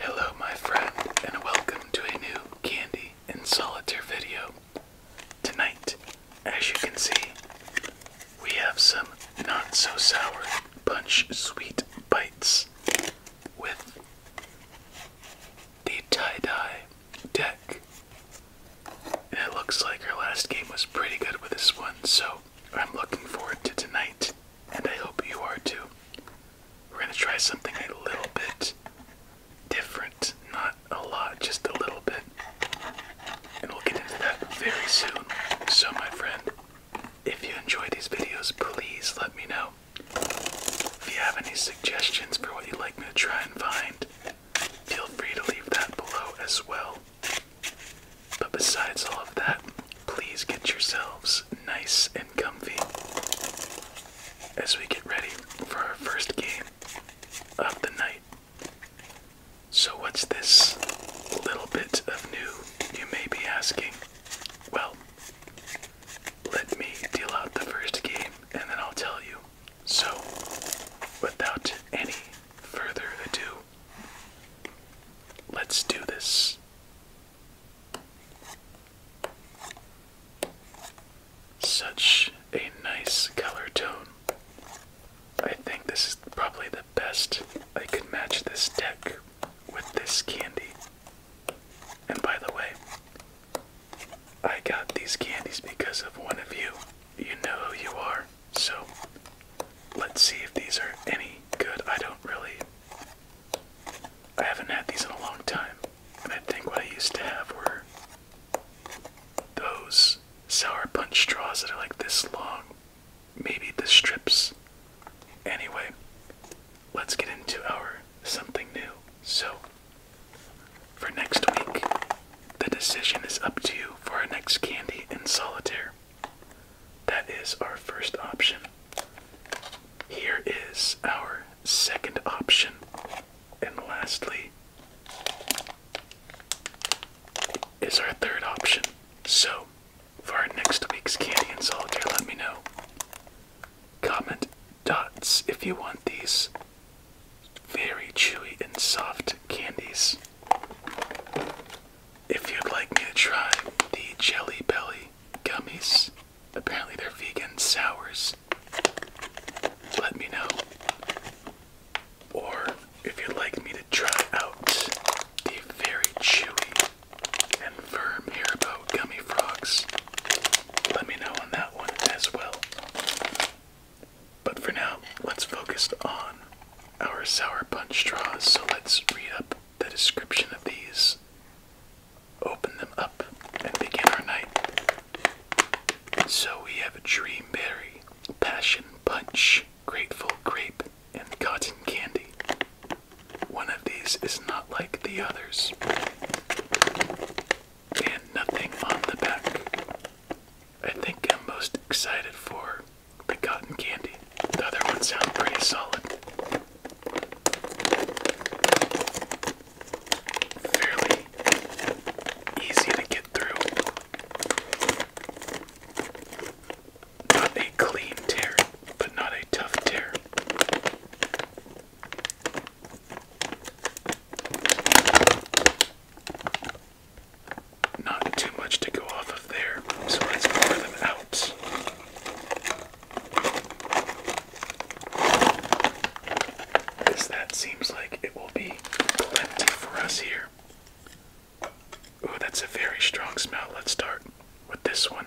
Hello, my friend, and welcome to a new Candy and Solitaire video. Tonight, as you can see, we have some not so sour punch sweet bites with the tie dye deck. And it looks like our last game was pretty good with this one, so I'm looking forward to tonight and I hope you are too. We're going to try something a little bit different, not a lot, just a little bit. And we'll get into that very soon. So, my friend, if you enjoy these videos, please let me know. If you have any suggestions for what you'd like me to try and find, feel free to leave that below as well. But besides all of that, please get yourselves nice and comfy as we get ready for our first game of the night. So, what's this little bit of new, you may be asking? Well, let me deal out the first game and then I'll tell you. So, without any further ado, Let's do this. Such a nice color tone. I think this is probably the best I could match this deck with this candy. And by the way, I got these candies because of one of you. You know who you are. So let's see if these are any good. I don't really. I haven't had these in a long time. And I think what I used to have were those sour punch straws that are like this long. Maybe the strips. Anyway, let's get into our something new. So, for next week, the decision is up to you for our next candy in solitaire. That is our first option. Here is our second option. And lastly, is our third option. So, for our next week's candy and solitaire, let me know. Comment dots if you want these very chewy and soft candies. If you'd like me to try the Jelly Belly gummies, apparently they're vegan sours, let me know. Or if you'd like me to try out the very chewy and firm Haribo gummy frogs, let me know on that one as well. But for now, let's focus on our sour punch straws, so let's read up the description of these, open them up, and begin our night. So we have a dream berry, passion punch, grateful grape, and cotton candy. One of these is not like the others, and nothing on the back. I think I'm most excited for the cotton candy. The other one sounds pretty solid. Fairly easy to get through. Not a clean tear, but not a tough tear not too much to go off of there, so let's pour them out. This that seems like it will be plenty for us here. Oh, that's a very strong smell. Let's start with this one.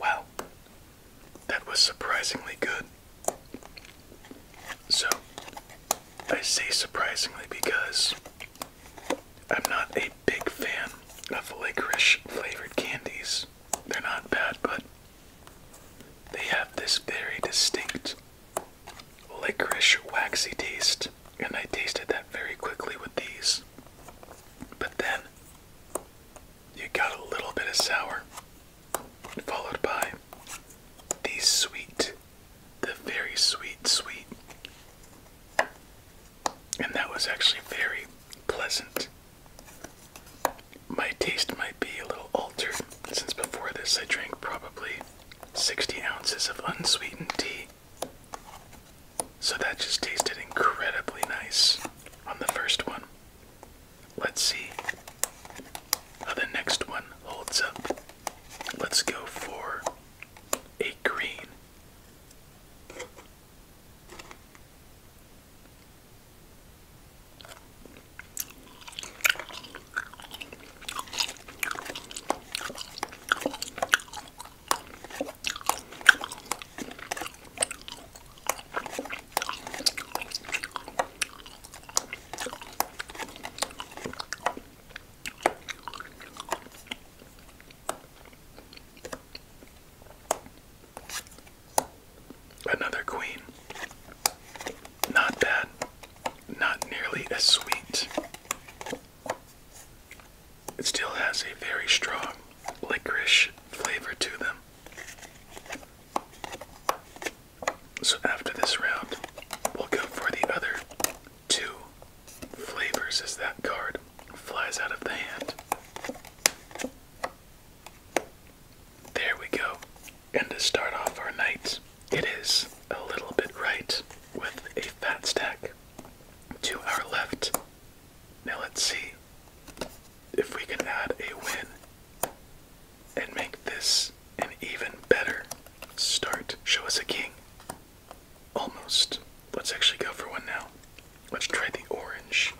Wow, that was surprisingly good. So, I say surprisingly because I'm not a big fan of licorice flavored candies. They're not bad, but they have this very distinct licorice waxy taste, and I tasted that very quickly with these. But then you got a little bit of sour, followed by the sweet, the very sweet, sweet. And that was actually very pleasant. My taste might be a little altered since before this I drank probably 60 ounces of unsweetened tea. So that just tasted incredibly nice on the first one. Let's see how the next one holds up. Let's go for a green. Another queen. Not bad. Not nearly as sweet it still has a very strong licorice flavor to them. So after this round, we'll go for the other two flavors as that card flies out of the hand. There we go. And to start off our night, it is a little bit right with a fat stack to our left. Now let's see if we can add a win and make this an even better start. Show us a king. Almost. Let's actually go for one now. Let's try the orange.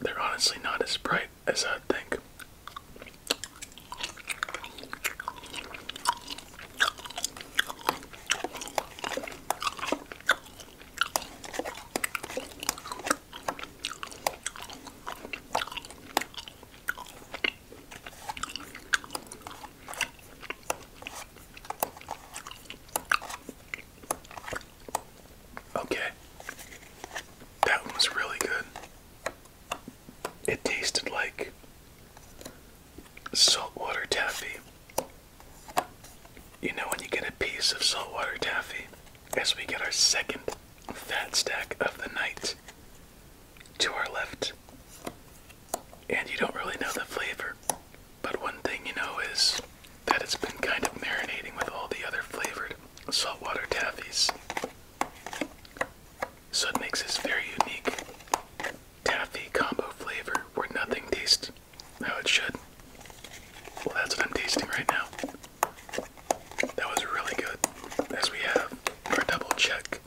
They're honestly not as bright as I'd think. Okay. That one was really good it tasted like saltwater taffy. You know, when you get a piece of saltwater taffy, as we get our second fat stack of the night to our left, and you don't really know the flavor, but one thing you know is that it's been kind of marinating with all the other flavored saltwater taffies. So it makes this very unique taffy combo flavor where nothing tastes how it should. Well, that's what I'm tasting right now. That was really good. As we have our double check.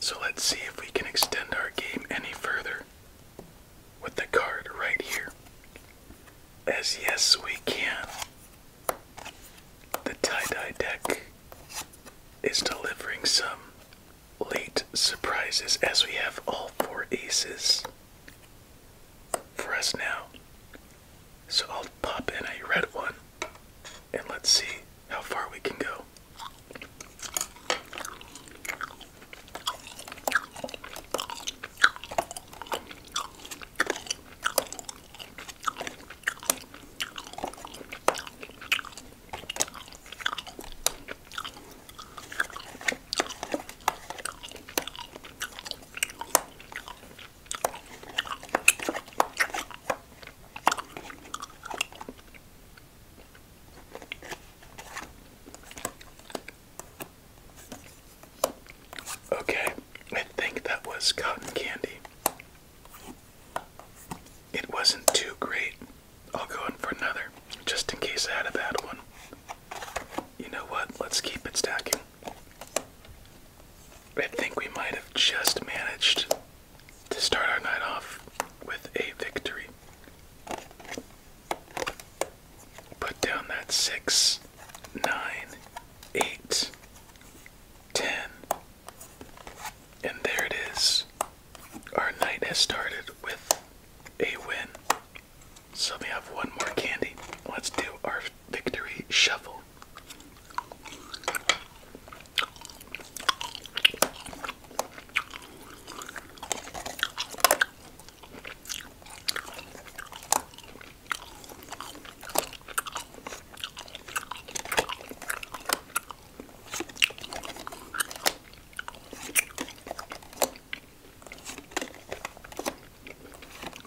So let's see if we can extend our game any further with the card right here. As yes, we can. The tie-dye deck is delivering some late surprises as we have all four aces for us now. So I'll pop in a red one and let's see how far we can go. Okay, I think that was cotton candy. It wasn't too great. I'll go in for another, just in case I had a bad one. You know what? Let's keep it stacking. I think we might have just managed to start our night off with a victory. Put down that six, nine, eight, ten, and there it is. Our night has started with a win. So we have one more candy. Let's do our victory shuffle.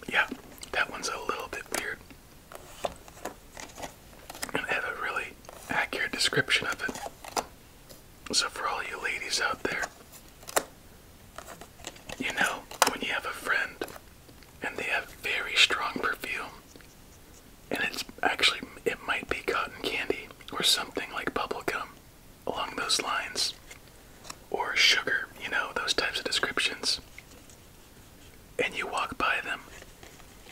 Yeah, that one's a little bit weird. I have a really accurate description of it. So, for all you ladies out there, you know, when you have a friend and they have very strong perfume. And it's actually, it might be cotton candy or something like bubble gum, along those lines. Or sugar, you know, those types of descriptions. And you walk by them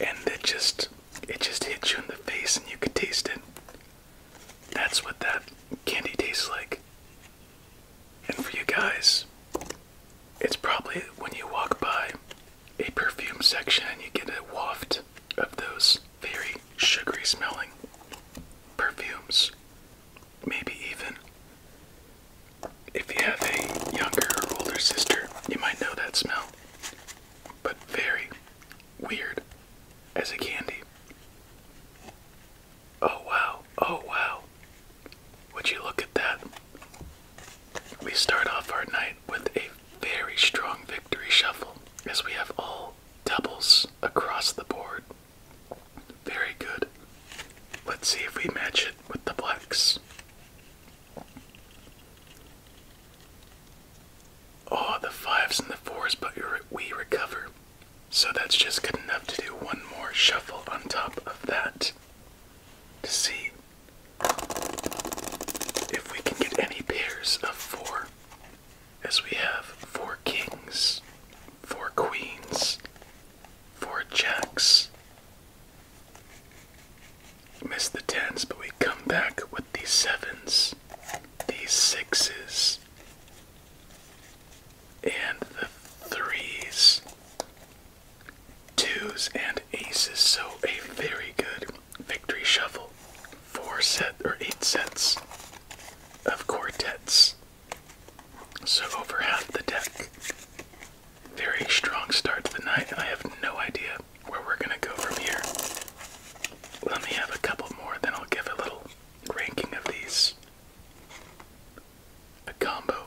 and it just, it just hits you in the face and you could taste it. That's what that candy tastes like. And for you guys, it's probably when you walk by a perfume section and you get a waft of those very sugary smelling perfumes. Maybe even if you have a younger or older sister, you might know that smell. But very weird as a candy. Oh wow, oh wow. Would you look at that? We start off our night with a very strong victory shuffle as we have all doubles across the board. Very good. Let's see if we match it with the blacks. Oh, the fives and the fours, but we recover. So that's just good enough to do one more shuffle on top of that to see if we can get any pairs of four, as we have four kings, four queens, four jacks. Miss the tens, but we come back with these sevens, these sixes, and the threes twos and aces, so a very good victory shuffle. Four sets or eight sets of quartets. So over half the deck. Very strong start to the night, I have no idea where we're gonna go from here. Let me have a couple more, then I'll give a little ranking of these. A combo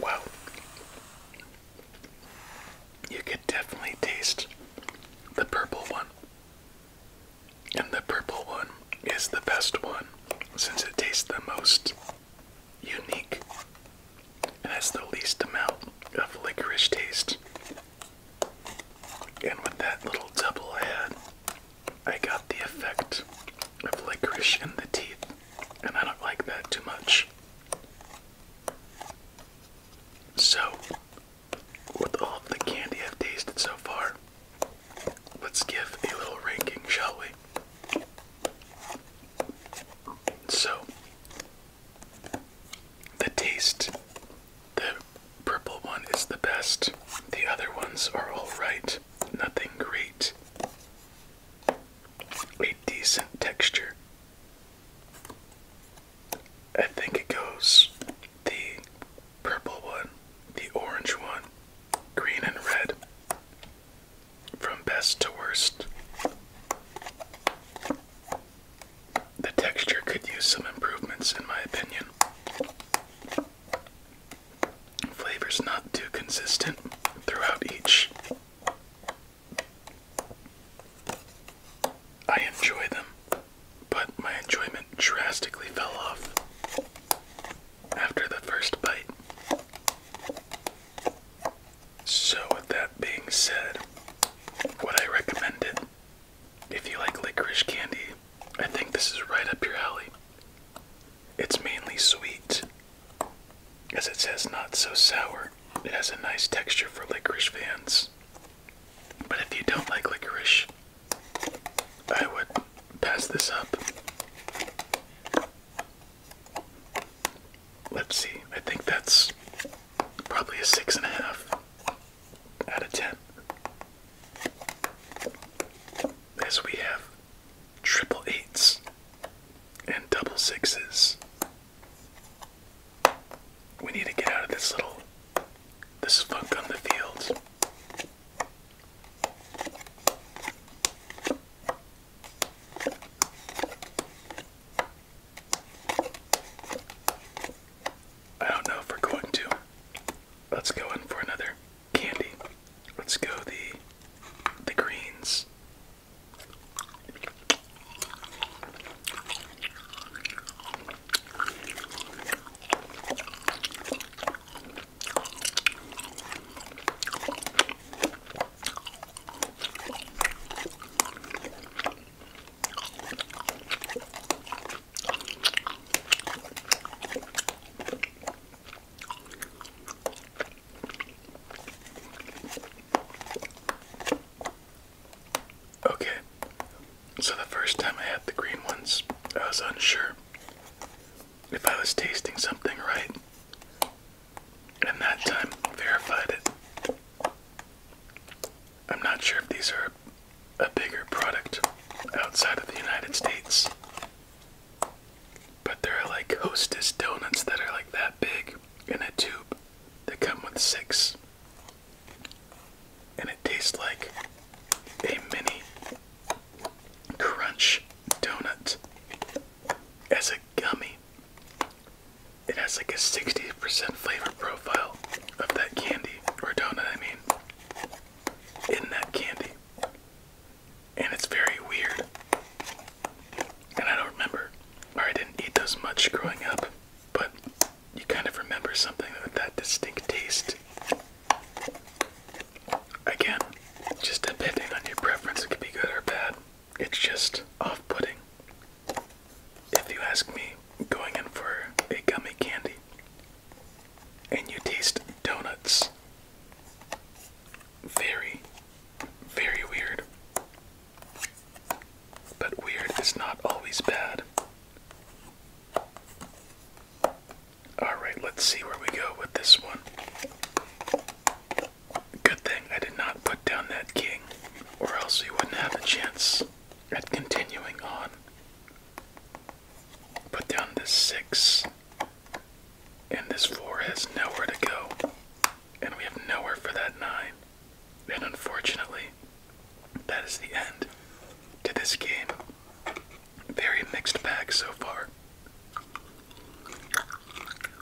Wow. You could definitely taste the purple one. And the purple one is the best one since it tastes the most unique it has the least amount of licorice taste. And with that little double head, I got the effect of licorice in the teeth, and I don't like that too much. So, with all the candy I've tasted so far, let's give a little ranking, shall we? So, the taste, the purple one is the best. The other ones are alright, nothing great. A decent texture. I think it goes the purple one, the orange one, green and red, from best to worst. The texture could use some improvements, in my opinion. Flavor's not too consistent throughout each. I enjoy them, but my enjoyment drastically fell off after the first bite. So, with that being said, what I recommend If you like licorice candy, I think this is right up your alley. It's mainly sweet, as it says not so sour. It has a nice texture for licorice fans. But if you don't like licorice, I would pass this up let's see, I think that's probably a six and a half out of ten. As we have triple eights and double sixes. We need to get out of this little this funk on the field. I don't know if we're going to. Let's go in for another candy. Let's go the the greens. Okay, so the first time I had the green ones, I was unsure if I was tasting something right and that time verified it. I'm not sure if these are a bigger product outside of the United States, but there are like Hostess donuts that are like that big in a tube. that come with six, and it tastes like a mini crunch donut as a gummy. It has like a 60% flavor profile of that candy, or donut, I mean, in that candy. And it's very weird. And I don't remember, or I didn't eat those much growing up, but you kind of remember something with that distinct taste. Again, just depending on your preference, it could be good or bad. It's just off putting. If you ask me, going in for a gummy candy and you taste donuts. Very, very weird. But weird is not always bad. Alright, let's see where we go with this one. Good thing I did not put down that king, or else he wouldn't have a chance at continuing on. Put down this six, and this four has nowhere to go, and we have nowhere for that nine. And unfortunately, that is the end to this game. Very mixed bag so far.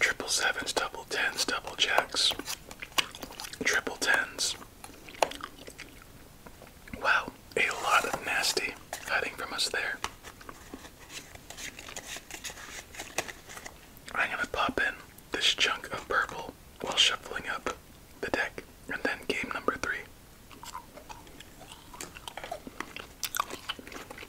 triple sevens, double tens, double jacks, triple tens. Wow, a lot of nasty hiding from us there. I'm gonna pop in this chunk of purple while shuffling up the deck, and then game number three.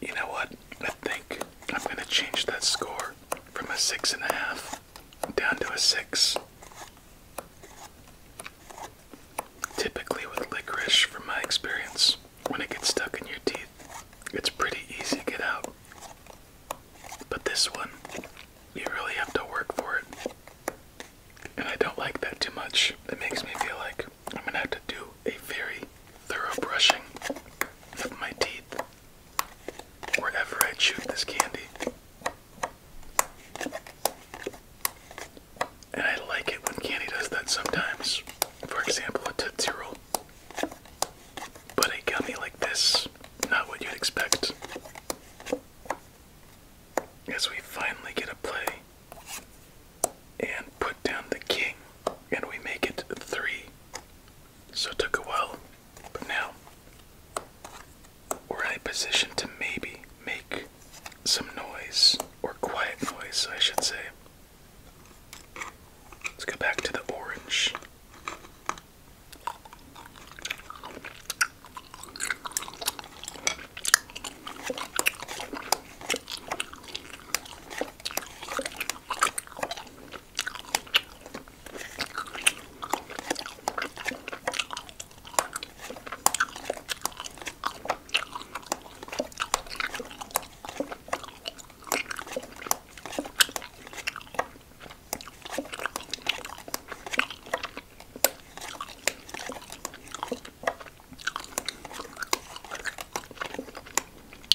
You know what? I think I'm going to change that score from a six and a half down to a six. Typically, with licorice, from my experience, when it gets stuck in your teeth, it's pretty easy to get out. But this one, you really have to work for it. And I don't like that too much. It makes me feel like I'm gonna have to do a very thorough brushing of my teeth wherever I chew this candy. And I like it when Candy does that sometimes. For example, a Tootsie But a gummy like this, not what you'd expect. As we finally get a play and put down the king, and we make it three. So it took a while but now we're in a position to maybe make some noise, or quiet noise, I should say. Let's go back to the orange.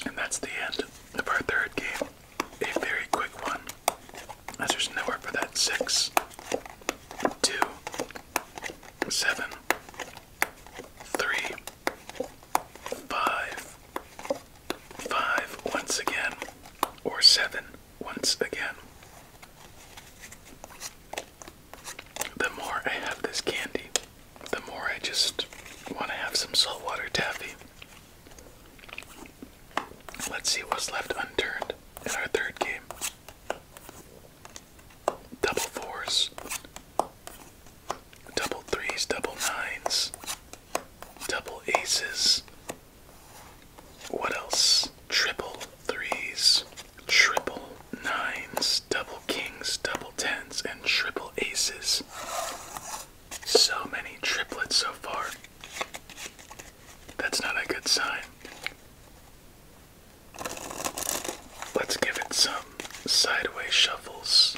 And that's the end of our third game a very quick one, as there's nowhere for that six, two, seven, three, five, five once again, or seven once again. The more I have this candy, the more I just want to have some saltwater taffy. Let's see what's left unturned in our third game. Double fours, double threes, double nines, double aces. What else? Triple threes, triple nines, double kings, double tens, and triple aces. So many triplets so far. That's not a good sign. Let's give it some sideways shuffles.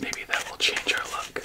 Maybe that will change our luck.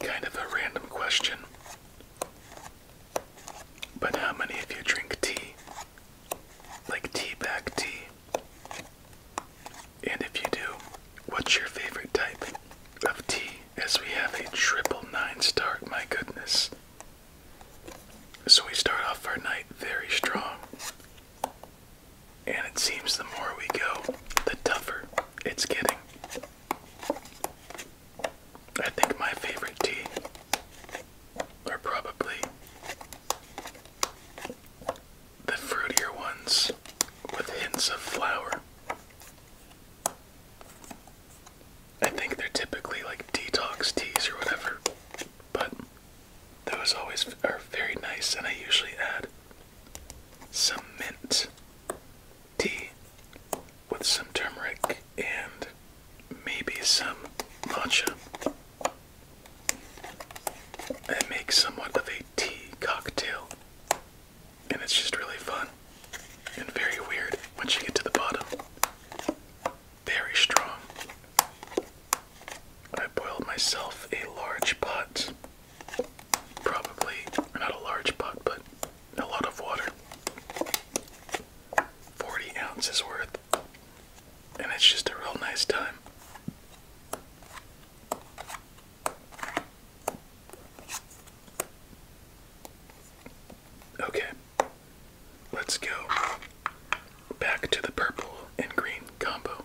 Kind of a random question. But how many of you drink tea? Like tea bag tea? And if you do, what's your favorite type of tea? As we have a triple nine start, my goodness. So we start off our night very strong. And it seems the more we go, the tougher it's getting. I think my favorite tea are probably the fruitier ones with hints of flower. I think they're typically like detox teas or whatever, but those always are very nice, and I usually add some mint tea with some turmeric and maybe some matcha. It makes somewhat of a tea cocktail, and it's just really fun and very weird once you get to the bottom. Very strong. I boiled myself a large pot probably not a large pot, but a lot of water. 40 ounces worth. And it's just a real nice time. Okay, let's go back to the purple and green combo.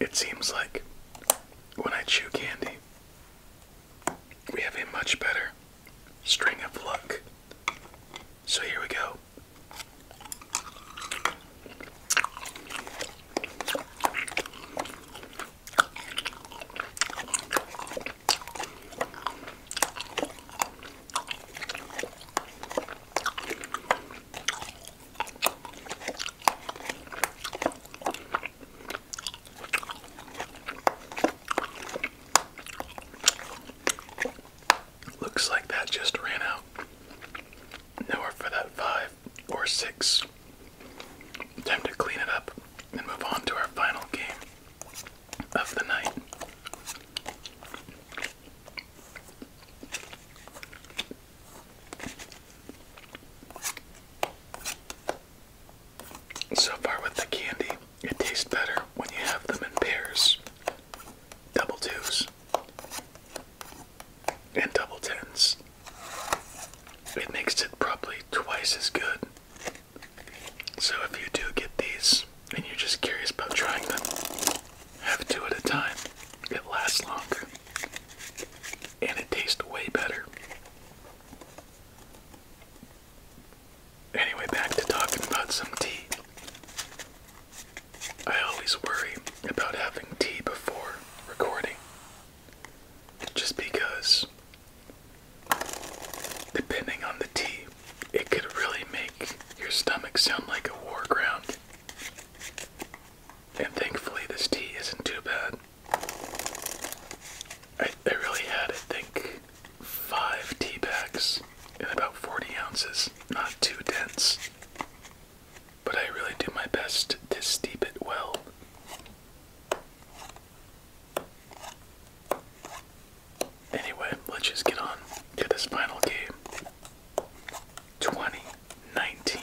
It seems like when I chew candy, we have a much better string of luck. So here we go. Looks like that just ran out. Nowhere for that five or six. Time to clean it up and move on to our final game of the night. So far with the candy, it tastes better when you have them in pairs. Double twos and double tens. It makes it probably twice as good. So if you do get these and you're just curious about trying them, have two at a time. It lasts longer and it tastes way better. Anyway, back to talking about some tea. I always worry about having tea before recording just because depending on the tea it could really make your stomach sound like a war ground and thankfully this tea isn't too bad. I, I really had, I think, five tea bags in about 40 ounces, not too dense. But I really do my best to steep it well. Anyway, let's just get on to this final game. 2019.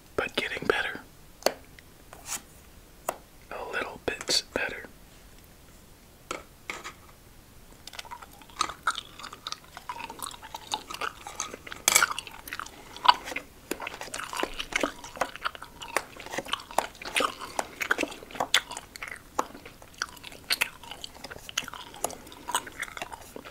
but getting better. A little bit better.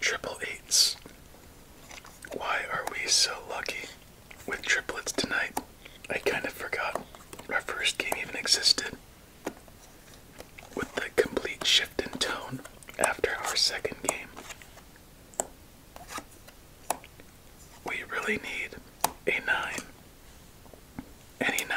Triple eights. Why are we so lucky with triplets tonight? I kind of forgot our first game even existed. With the complete shift in tone after our second game. We really need a 9. Any 9.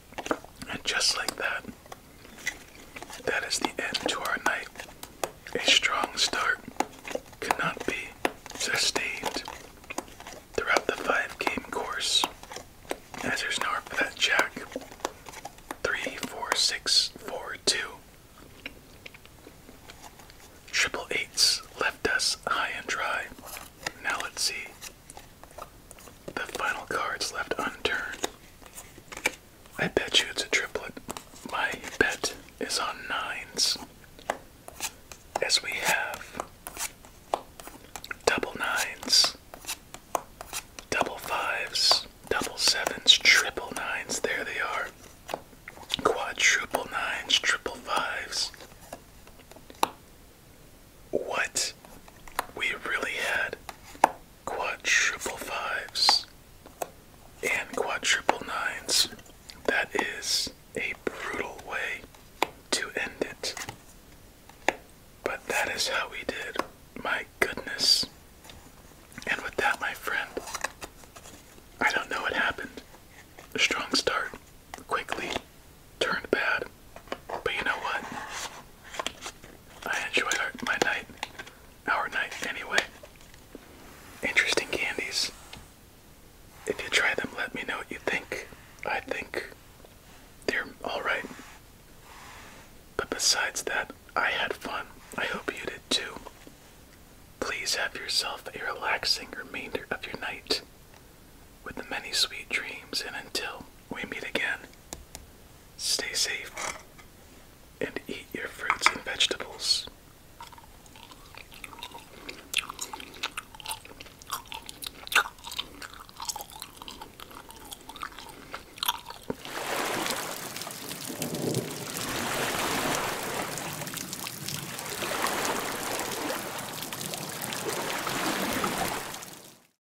And just like that, that is the end to our night. A strong start cannot be sustained throughout the five game course, as there's no for that jack. Three, four, six, four, two. Triple eights left us high and dry. Now let's see the final card's left unturned. I bet you it's a triplet. My bet is on nines. As we have double nines, double fives, double sevens, triple nines, there they are. Quadruple nines, triple fives. What we really had quadruple fives and quadruple nines. That is a brutal way to end it. But that is how we did. My goodness. And with that, my friend, I don't know what happened. A strong start, quickly turned bad, but you know what? I enjoyed my night, our night anyway. Interesting candies. If you try them, let me know what you think. I think they're alright. But besides that, I had fun. I hope you did too. Please have yourself a relaxing remainder of your night with many sweet dreams, and until we meet again. Stay safe and eat your fruits and vegetables.